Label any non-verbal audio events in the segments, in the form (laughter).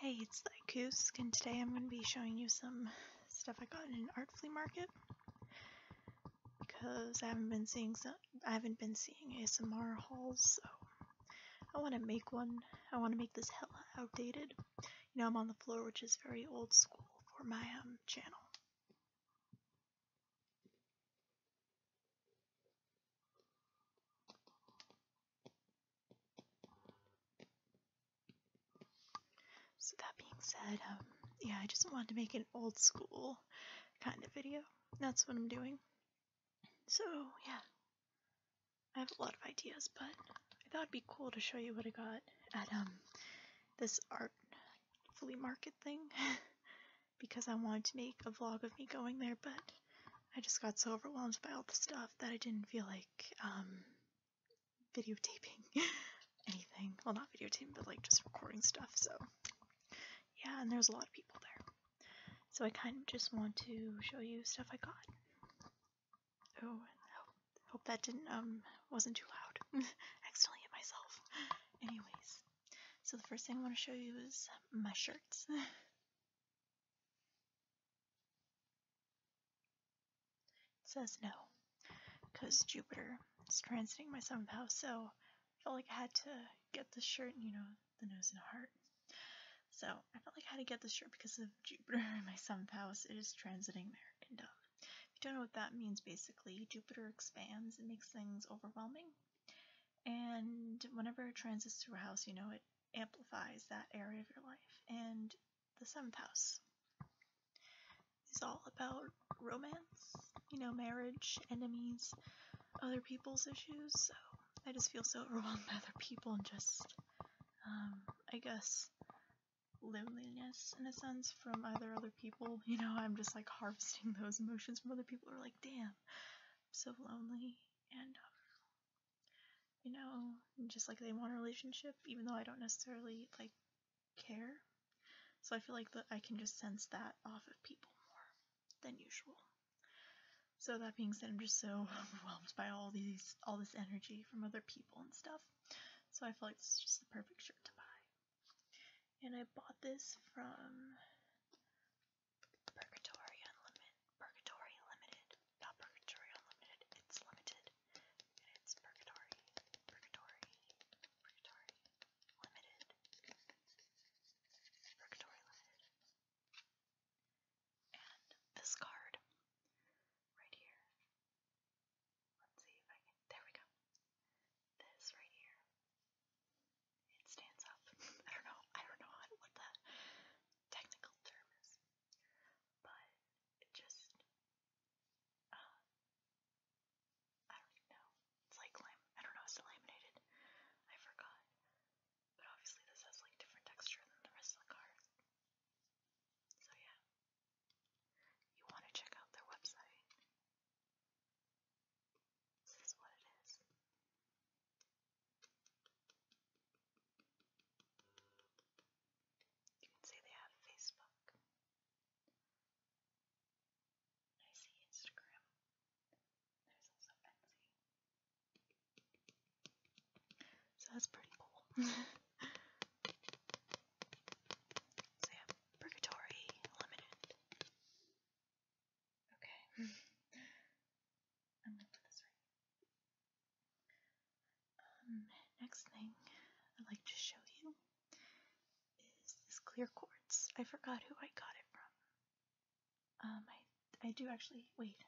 Hey, it's Lycoosk, and today I'm going to be showing you some stuff I got in an art flea market because I haven't been seeing some, I haven't been seeing ASMR hauls, so I want to make one. I want to make this hella outdated. You know, I'm on the floor, which is very old school for my um, channel. So that being said, um, yeah, I just wanted to make an old school kind of video. That's what I'm doing. So, yeah. I have a lot of ideas, but I thought it'd be cool to show you what I got at um, this art flea market thing. (laughs) because I wanted to make a vlog of me going there, but I just got so overwhelmed by all the stuff that I didn't feel like um, videotaping (laughs) anything. Well, not videotaping, but like just recording stuff. So, yeah, and there's a lot of people there. So I kind of just want to show you stuff I got. Oh, and hope that didn't um wasn't too loud. (laughs) Accidentally hit myself. Anyways, so the first thing I want to show you is my shirts. (laughs) says no, because Jupiter is transiting my seventh house, so I felt like I had to get this shirt, you know, the nose and heart. So I felt like I had to get this shirt because of Jupiter in my seventh house. It is transiting there and If you don't know what that means, basically, Jupiter expands and makes things overwhelming. And whenever it transits through a house, you know, it amplifies that area of your life. And the seventh house is all about romance, you know, marriage, enemies, other people's issues. So I just feel so (laughs) overwhelmed by other people and just, um, I guess, loneliness in a sense from other other people. You know, I'm just like harvesting (laughs) those emotions from other people. Are like, damn, I'm so lonely and um, you know, just like they want a relationship, even though I don't necessarily like care. So I feel like that I can just sense that off of people more than usual. So that being said, I'm just so (laughs) overwhelmed by all these all this energy from other people and stuff. So I feel like it's just the perfect shirt to buy. And I bought this from Purgatory Unlimited, Purgatory Limited, not Purgatory Unlimited, it's limited, it's Purgatory, Purgatory, Purgatory Limited, Purgatory Limited. And this card, right here, let's see if I can, there we go, this right here it stands up. (laughs) I don't know. I don't know what the technical term is, but it just um, I don't know. It's like lam. I don't know. It's laminated. I forgot. But obviously, this has like different texture than the rest of the cars. So yeah, you want to check out their website. This is what it is. You can say they have Facebook. I see Instagram. There's also Etsy. So that's pretty cool. (laughs) so Purgatory Limited. Okay. I'm gonna put this right. Um, next thing I'd like to show you is this clear quartz. I forgot who I got it from. Um, I I do actually wait.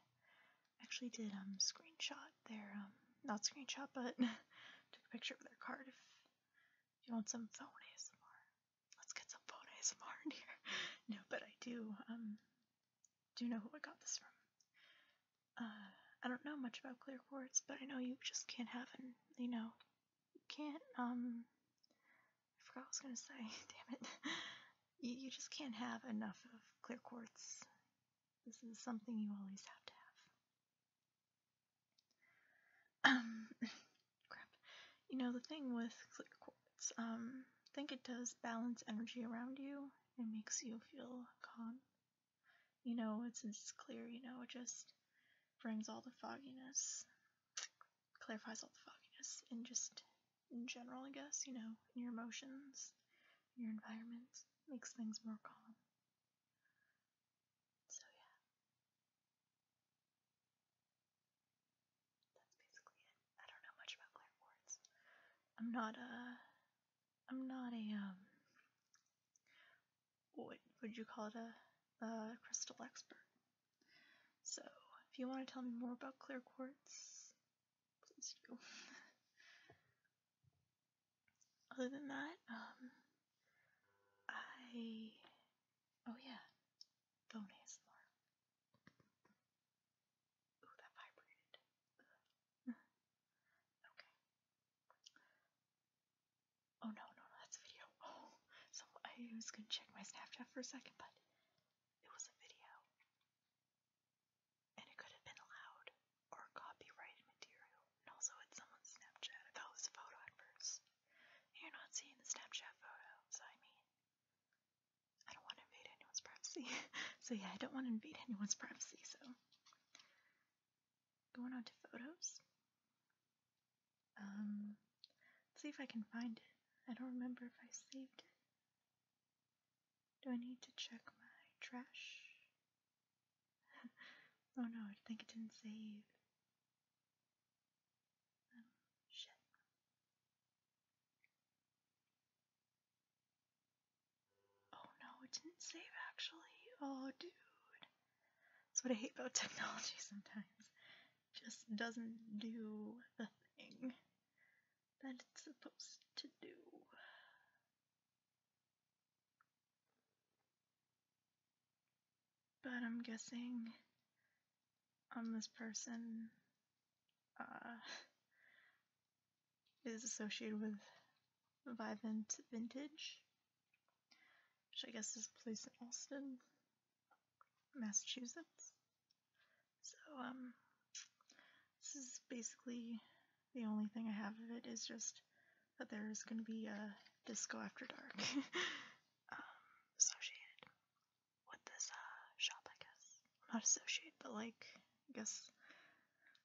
Actually, did um screenshot their um not screenshot but (laughs) took a picture of their card. If you want some phone ASMR, let's get some phone ASMR in here. (laughs) no, but I do, um, do know who I got this from. Uh, I don't know much about clear quartz, but I know you just can't have an, you know, you can't, um, I forgot what I was gonna say, (laughs) damn it. you, you just can't have enough of clear quartz. This is something you always have to have. Um, crap. You know, the thing with clear quartz, um, I think it does balance energy around you. It makes you feel calm. You know, since it's clear, you know, it just brings all the fogginess, clarifies all the fogginess, and just in general, I guess, you know, in your emotions, your environment, makes things more calm. So, yeah. That's basically it. I don't know much about clear quartz. I'm not a. I'm not a um. What would you call it? A, a crystal expert. So if you want to tell me more about clear Quartz, please do. (laughs) Other than that, um, I. Oh yeah, phone ASMR. Ooh, that vibrated. okay. Oh no, no, no, that's a video. Oh, so I was gonna check my Snapchat for a second, but it was a video. And it could have been allowed or copyrighted material. And also it's someone's Snapchat. I thought it was a photo at first. You're not seeing the Snapchat photo, so I mean, I don't want to invade anyone's privacy. (laughs) so yeah, I don't want to invade anyone's privacy, so going on to photos. Um see if I can find it. I don't remember if I saved it. Do I need to check my trash? (laughs) oh no, I think it didn't save. Um, Oh no, it didn't save actually. Oh, dude. That's what I hate about (laughs) technology sometimes. It just doesn't do the thing that it's supposed to do. But I'm guessing this person uh, is associated with Vivant Vintage, which I guess is a place in Alston, Massachusetts. So, um, this is basically the only thing I have of it is just that there is going to be a disco after dark (laughs) um, associated with this uh, shop, I guess. not associate, but like, I guess,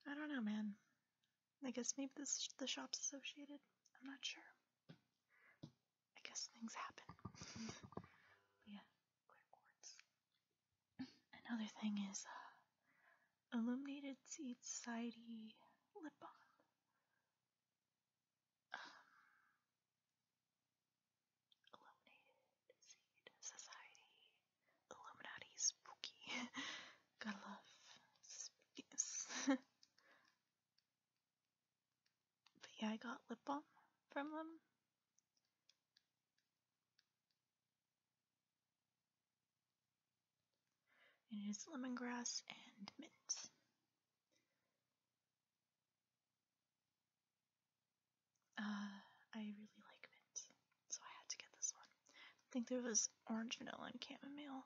I don't know, man. I guess maybe this the shop's associated. I'm not sure. I guess things happen. (laughs) yeah, clear quartz. Another thing is uh, Illuminated Seed Society lip balm um, Society, Illuminati Spooky. Gotta love spookiness. (laughs) yeah, I got lip balm from them. And it is lemongrass and mint. Uh, I really like mint, so I had to get this one. I think there was orange vanilla and chamomile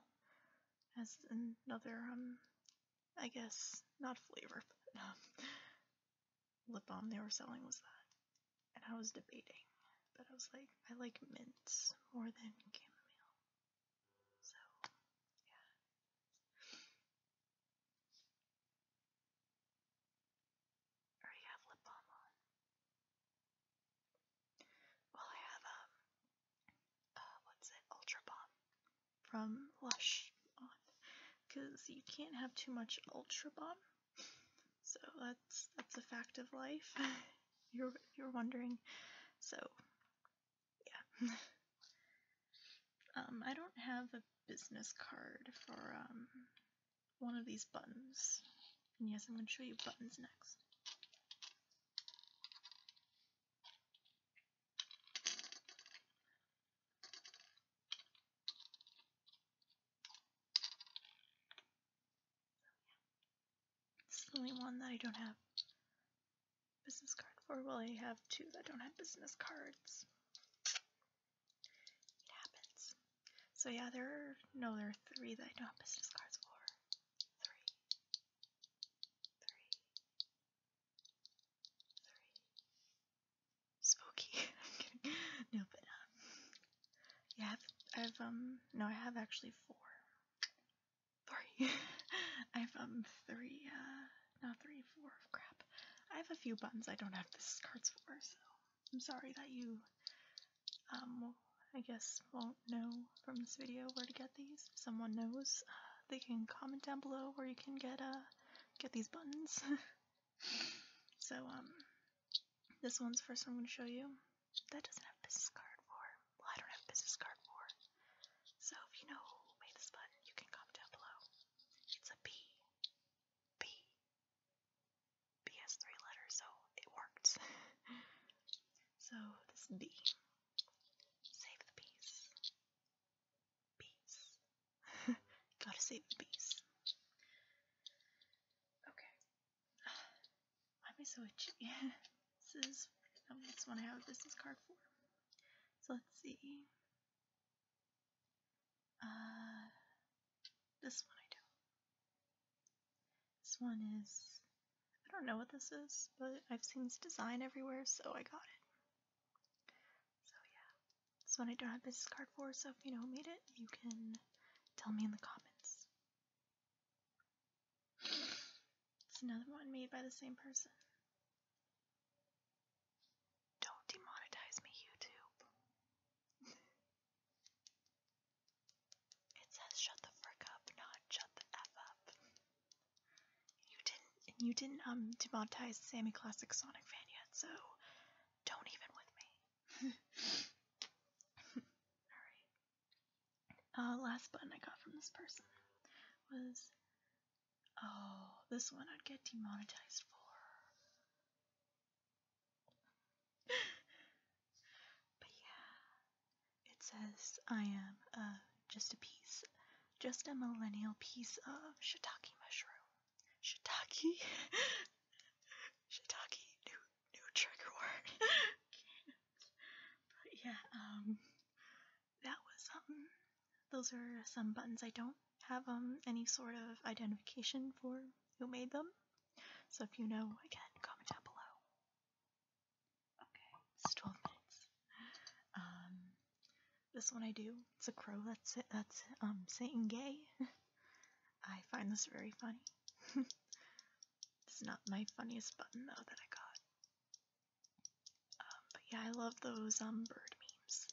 as another, um, I guess, not flavor, um, lip balm they were selling was that. And I was debating, but I was like, I like mints more than chamomile. So, yeah. Or you have lip balm on. Well, I have, um, uh, what's it? Ultra Balm from Lush on. Because you can't have too much Ultra Balm. So that's, that's a fact of life. (laughs) you're, you're wondering. So, yeah. (laughs) Um, I don't have a business card for um, one of these buttons. And yes, I'm going to show you buttons next. It's the only one that I don't have business card for. Well, I have two that don't have business cards. It happens. So yeah, there are no there are three that I don't have business cards for. Three. Spooky. (laughs) I'm kidding. No, but um Yeah, I've um no I have actually four. Three. (laughs) I've um three uh not three, four crap. I have a few buttons I don't have the cards for, so I'm sorry that you, um, I guess won't know from this video where to get these. If someone knows, uh, they can comment down below where you can get, a, uh, get these buttons. (laughs) so, um, this one's first I'm going to show you. That doesn't have business card for. Well, I don't have business card for. So if you know who made this button, you can comment down below. It's a P. B. B has three letters, so it worked. (laughs) so this B. Save the bees. Bees. (laughs) Gotta save the bees. Okay. (sighs) Why am I so itchy? (laughs) this is, um, that's what I have a business card for. So let's see. Uh, this one I do. This one is, I don't know what this is, but I've seen this design everywhere, so I got it. So yeah, this one I don't have business card for, so if you know who made it, you can tell me in the comments. It's another one made by the same person. Don't demonetize me, YouTube. it says shut the frick up, not shut the F up. You didn't you didn't um demonetize Sammy Classic Sonic Fan yet, so don't even with me. (laughs) Alright. Uh last button I got from this person was Oh, this one I'd get demonetized for. (laughs) but yeah, it says I am uh, just a piece, just a millennial piece of shiitake mushroom. Shiitake? (laughs) shiitake, new, new trigger word. (laughs) but yeah, um, that was something. Um, those are some buttons I don't have um, any sort of identification for who made them. So if you know, again, comment down below. Okay, it's 12 minutes. Um, this one I do. It's a crow that's it, that's um saying gay. (laughs) I find this very funny. (laughs) it's not my funniest button though that I got but yeah, I love those um bird memes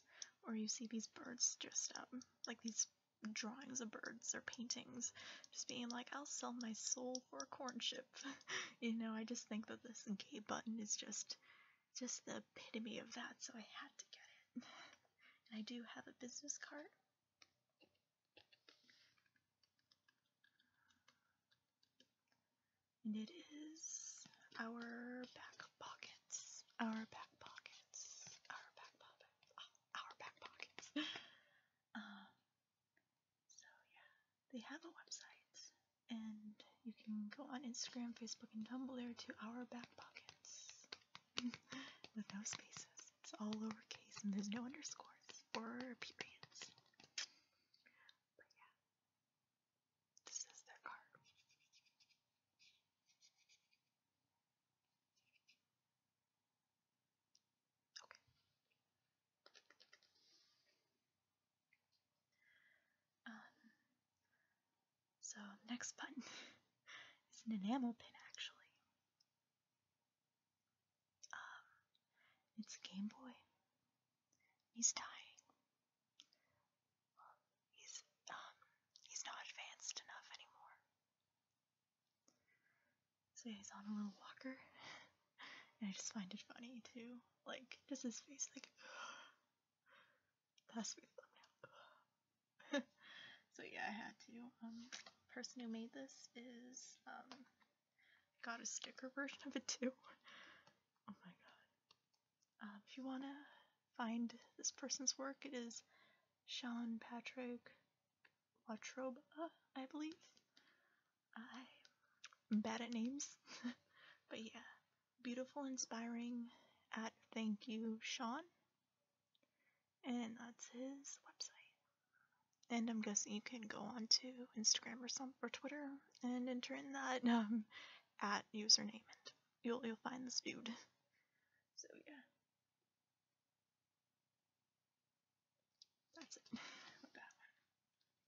where you see these birds just um like these drawings of birds or paintings just being like, I'll sell my soul for a corn chip. (laughs) you know, I just think that this gay button is just just the epitome of that, so I had to get it. and I do have a business card. And it is our back pockets our back pockets, our back pockets, ah, our back pockets. (laughs) um, so yeah, they have a website, and you can go on Instagram, Facebook, and Tumblr to our back pockets (laughs) with those spaces. It's all lowercase, and there's no underscores or periods. But yeah, this is their card. Okay. Um, so next button (laughs) is an enamel pin actually. Um, it's Game Boy. He's dying. Well, he's um he's not advanced enough anymore. So he's on a little walker, and I just find it funny too. Like just his face, like (laughs) so yeah, I had to. Um, person who made this is um got a sticker version of it too. oh my god. Um, if you want to find this person's work, it is Sean Patrick Latrobe, I believe. I'm bad at names, (laughs) but yeah, beautiful, inspiring. At thank you, Sean, and that's his website. And I'm guessing you can go on to Instagram or some or Twitter and enter in that (laughs) um, at username you'll you'll find this dude. So yeah. That's it.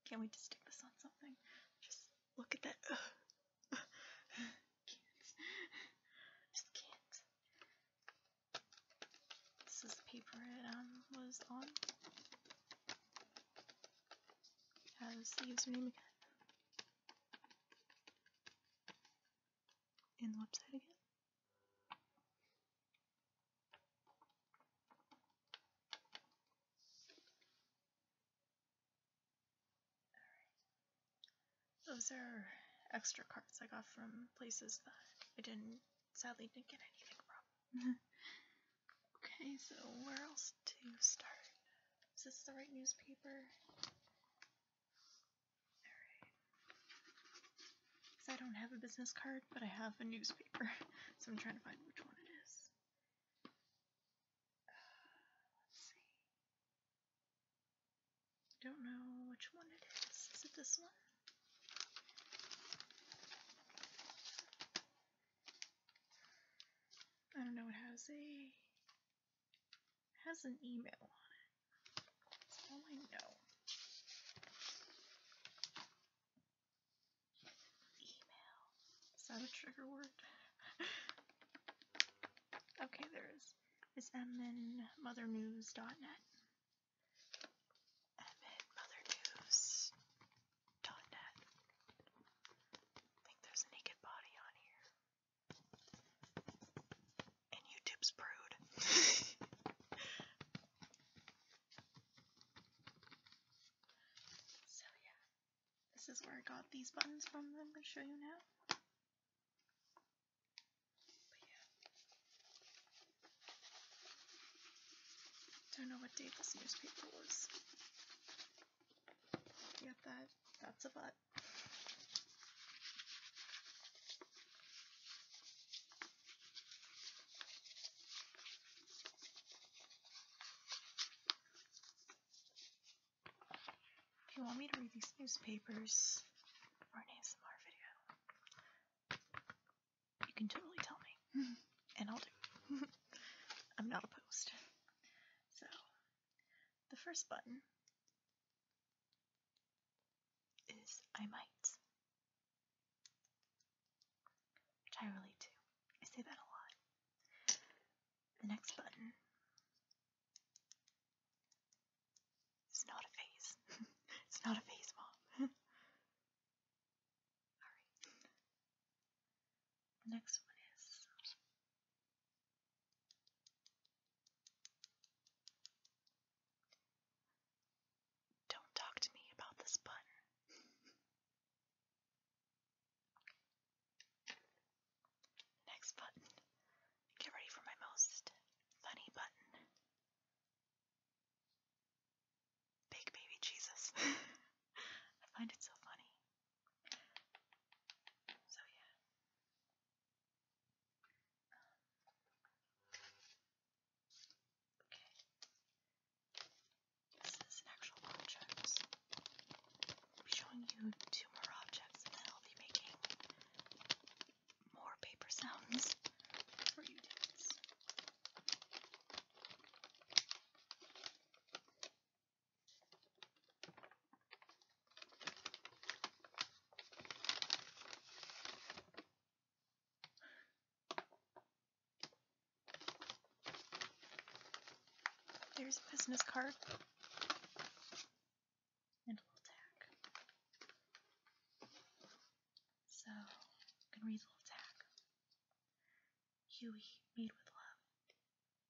Can't wait to stick this on something. Just look at that. (sighs) can't. Just can't. This is paper it um was on. Has the username again in the website again. Those are extra cards I got from places that I didn't sadly didn't get anything from. Mm-hmm. okay, so where else to start? Is this the right newspaper? Alright. Because I don't have a business card, but I have a newspaper. (laughs) So I'm trying to find which one it is. Uh, let's see. I don't know which one it is. Is it this one? I don't know, it has a has an email on it. That's all I know. Email. Is that a trigger word? (laughs) okay, there is. It's mnmothernews.net. mnmothernews.net. I think there's naked body on here. And YouTube's prude. (laughs) so yeah, this is where I got these buttons from I'm going to show you now. Don't know what date this newspaper was. Yet that, that's a butt. If you want me to read these newspapers for an ASMR video, you can totally tell me, mm-hmm. and I'll do. (laughs) I'm not opposed. So, the first button is I might, which I relate to. I say that a lot. The next button is not a phase. (laughs) it's not a phase, Mom. (laughs) Alright. The next one is don't talk to me about this button. Next button. Get ready for my most funny button. Big baby Jesus. (laughs) I find it so funny. So yeah. Um, okay. This is actual object. I'll be showing you two more objects and then I'll be making more paper sounds for you dudes. There's a business card. And we'll tack. So, you can read the little tack. Huey, made with love.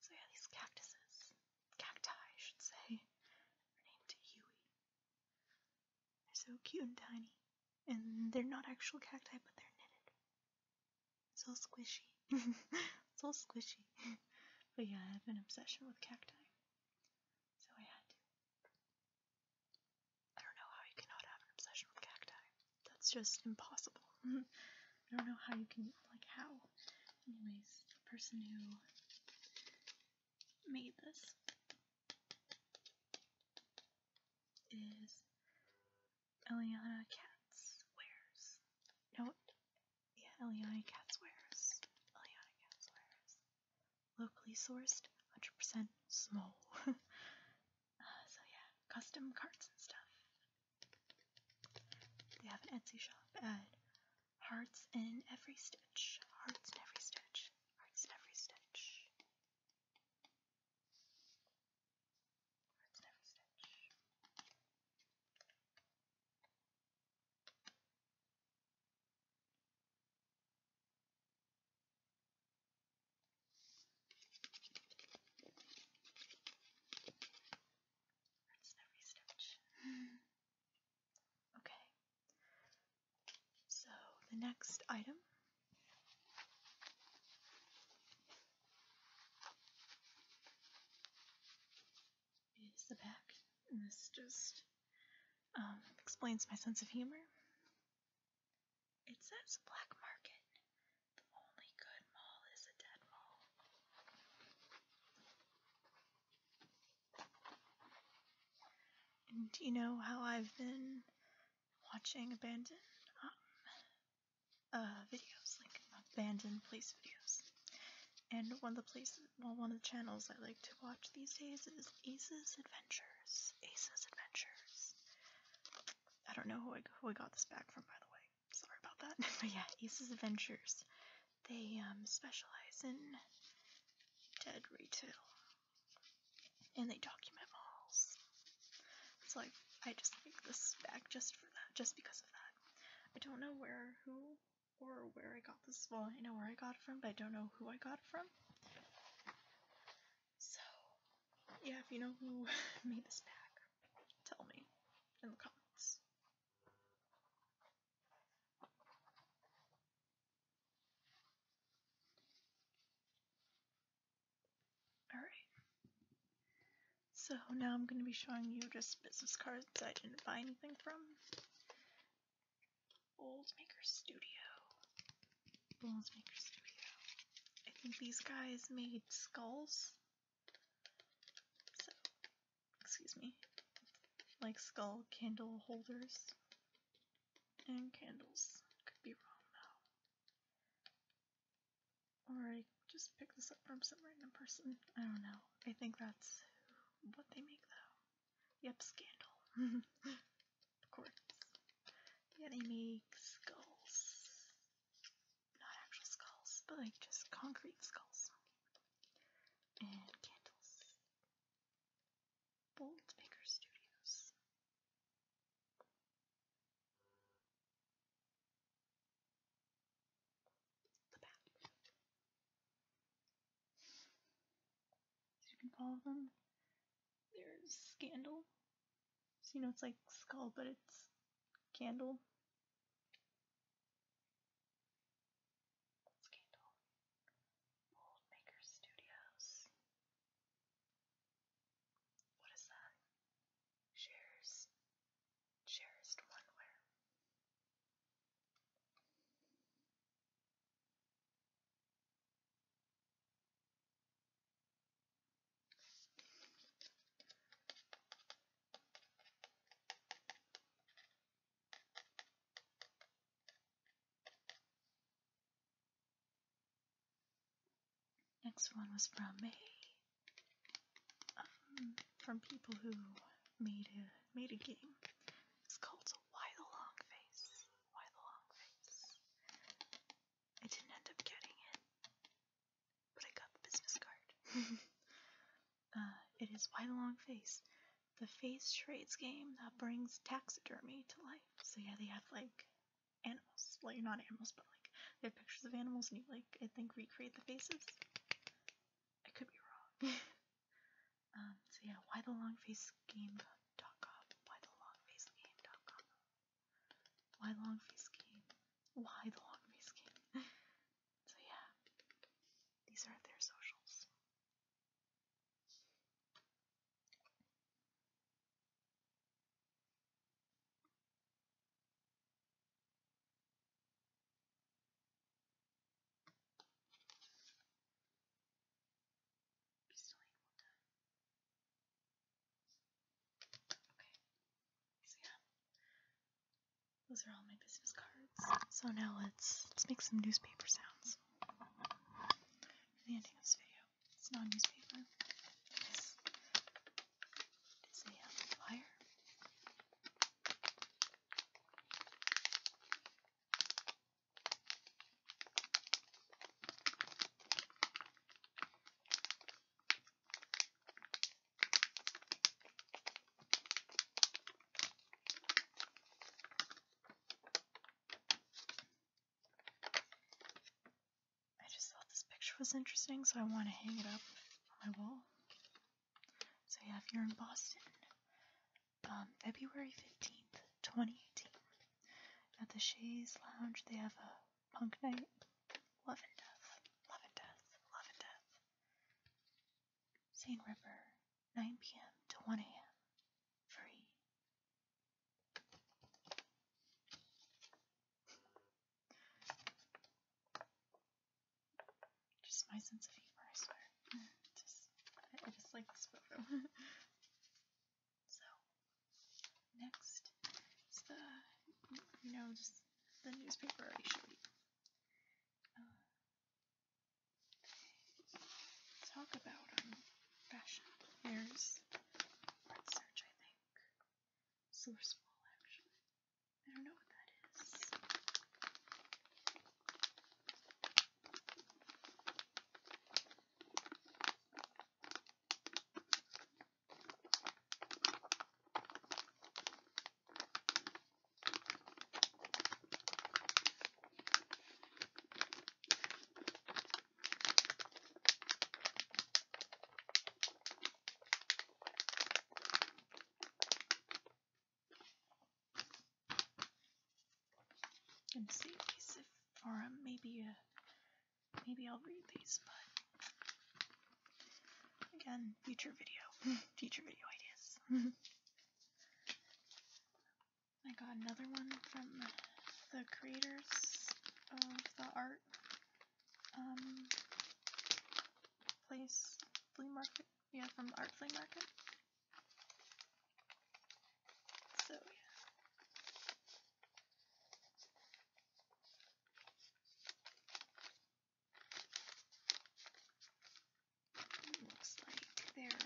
So yeah, these cactuses, cacti I should say, are named Huey. They're so cute and tiny. And they're not actual cacti, but they're knitted. It's all squishy. It's (laughs) all squishy. but yeah, I have an obsession with cacti. So I had to. I don't know how you cannot have an obsession with cacti. That's just impossible. (laughs) I don't know how you can, like, how. Anyways, the person who made this is Eliana Katz Wares. No, yeah, Eliana Catswares, Eliana Catswares, locally sourced, 100% small. (laughs) Uh, so yeah, custom cards and stuff. They have an Etsy shop at Hearts in Every Stitch, Hearts in Every Stitch, Hearts in Every Stitch. Hearts in Every Stitch. That's no restitch. (sighs) okay. So the next item is the back. And this just um, explains my sense of humor. It says black market. The only good mall is a dead mall. do you know how I've been watching Abandoned? Um, uh, videos, like abandoned place videos. And one of the places, well, one of the channels I like to watch these days is Ace's Adventures. Ace's Adventures. I don't know who I, who I got this back from, by the way. Sorry about that. (laughs) but yeah, Ace's Adventures. They um, specialize in dead retail, and they document malls. So like, I just like this back just for that, just because of that. I don't know where, who, or where I got this. Well, I know where I got it from, but I don't know who I got it from. So, yeah, if you know who (laughs) made this pack, tell me in the comments. Alright. So now I'm going to be showing you just business cards I didn't buy anything from. Boldmaker Studio. Boldmaker Studio. I think these guys made skulls. So, excuse me. Like skull candle holders. And candles. Could be wrong though or I just picked this up from some random person. I don't know. I think that's what they make though. Yep, Scandal. (laughs) of course. they make skulls. Not actual skulls, but like just concrete skulls. And candles. Bold Baker Studios you can follow them. There's Scandal. So you know it's like Skull, but it's Candle. Scandal. Maker Studios. What is that? Shares cherished Where Next one was from me. Um, from people who made a made a game. It's called Why the Long Face. Why Long Face. I didn't end up getting it, but I got the business card. (laughs) Uh, it is Why Long Face, the face trades game that brings taxidermy to life. So yeah, they have like animals, like well, not animals, but like they have pictures of animals, and you like I think recreate the faces. I could be wrong. (laughs) Um, so yeah, why the long face game.com. Why the long face game? Why the long face game? (laughs) so yeah, these are their socials. So yeah. Those are all my business cards. So now let's let's make some newspaper sounds. For the ending of this video. It's not newspaper is a flyer. I just thought this picture was interesting, so I want to hang it up on my wall. So yeah, if you're in Boston, um, February 15th, 2018, at the Shays Lounge, they have a punk night. Love and Death, Love and Death, Love and Death. Seine River, 9 p.m. to 1 a.m. Free. Just my sense of humor, I swear. Just, I just like this photo. (laughs) so, next is the, you know, just the newspaper I showed you. Uh, talk about um, fashion. There's Art I think. Sourceful, actually. I don't know what that is. I'm gonna save these if, um, maybe uh, maybe I'll read these, but again, future video, (laughs) future video ideas. (laughs) I got another one from the creators of the art um, place, flea market, yeah, from art flea market. So yeah. looks like they're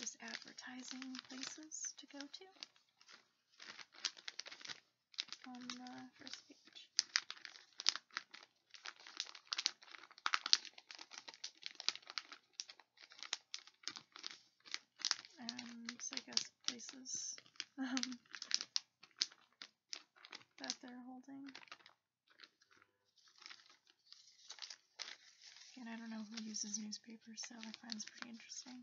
just um, advertising places to go to on the first page and I guess places um, that they're holding. And I don't know who uses newspapers, so I find this pretty interesting.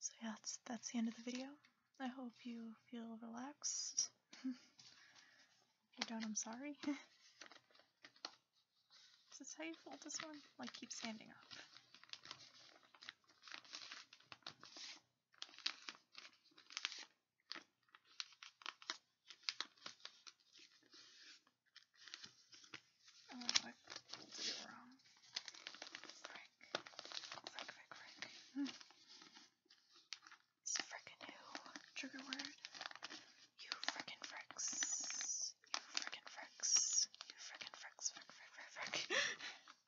So yeah, that's, that's the end of the video. I hope you feel relaxed. (laughs) you are done. I'm sorry. (laughs) Is this how you fold this one? Like, keep standing up. Oh, I did it wrong. Frick. Frick, frick, frick. Hmm. It's frickin' who? Trigger word. You frickin' fricks. You frickin' fricks. You frickin' fricks. Frick, frick, frick, frick. (laughs)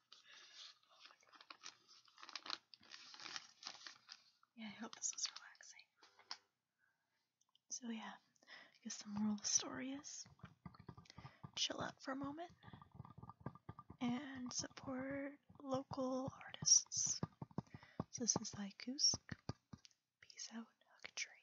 Oh Yeah, I hope this was relaxing. So yeah, I guess the moral of the story is chill out for a moment and support local artists. So this is Lykusk. Peace out, hug tree.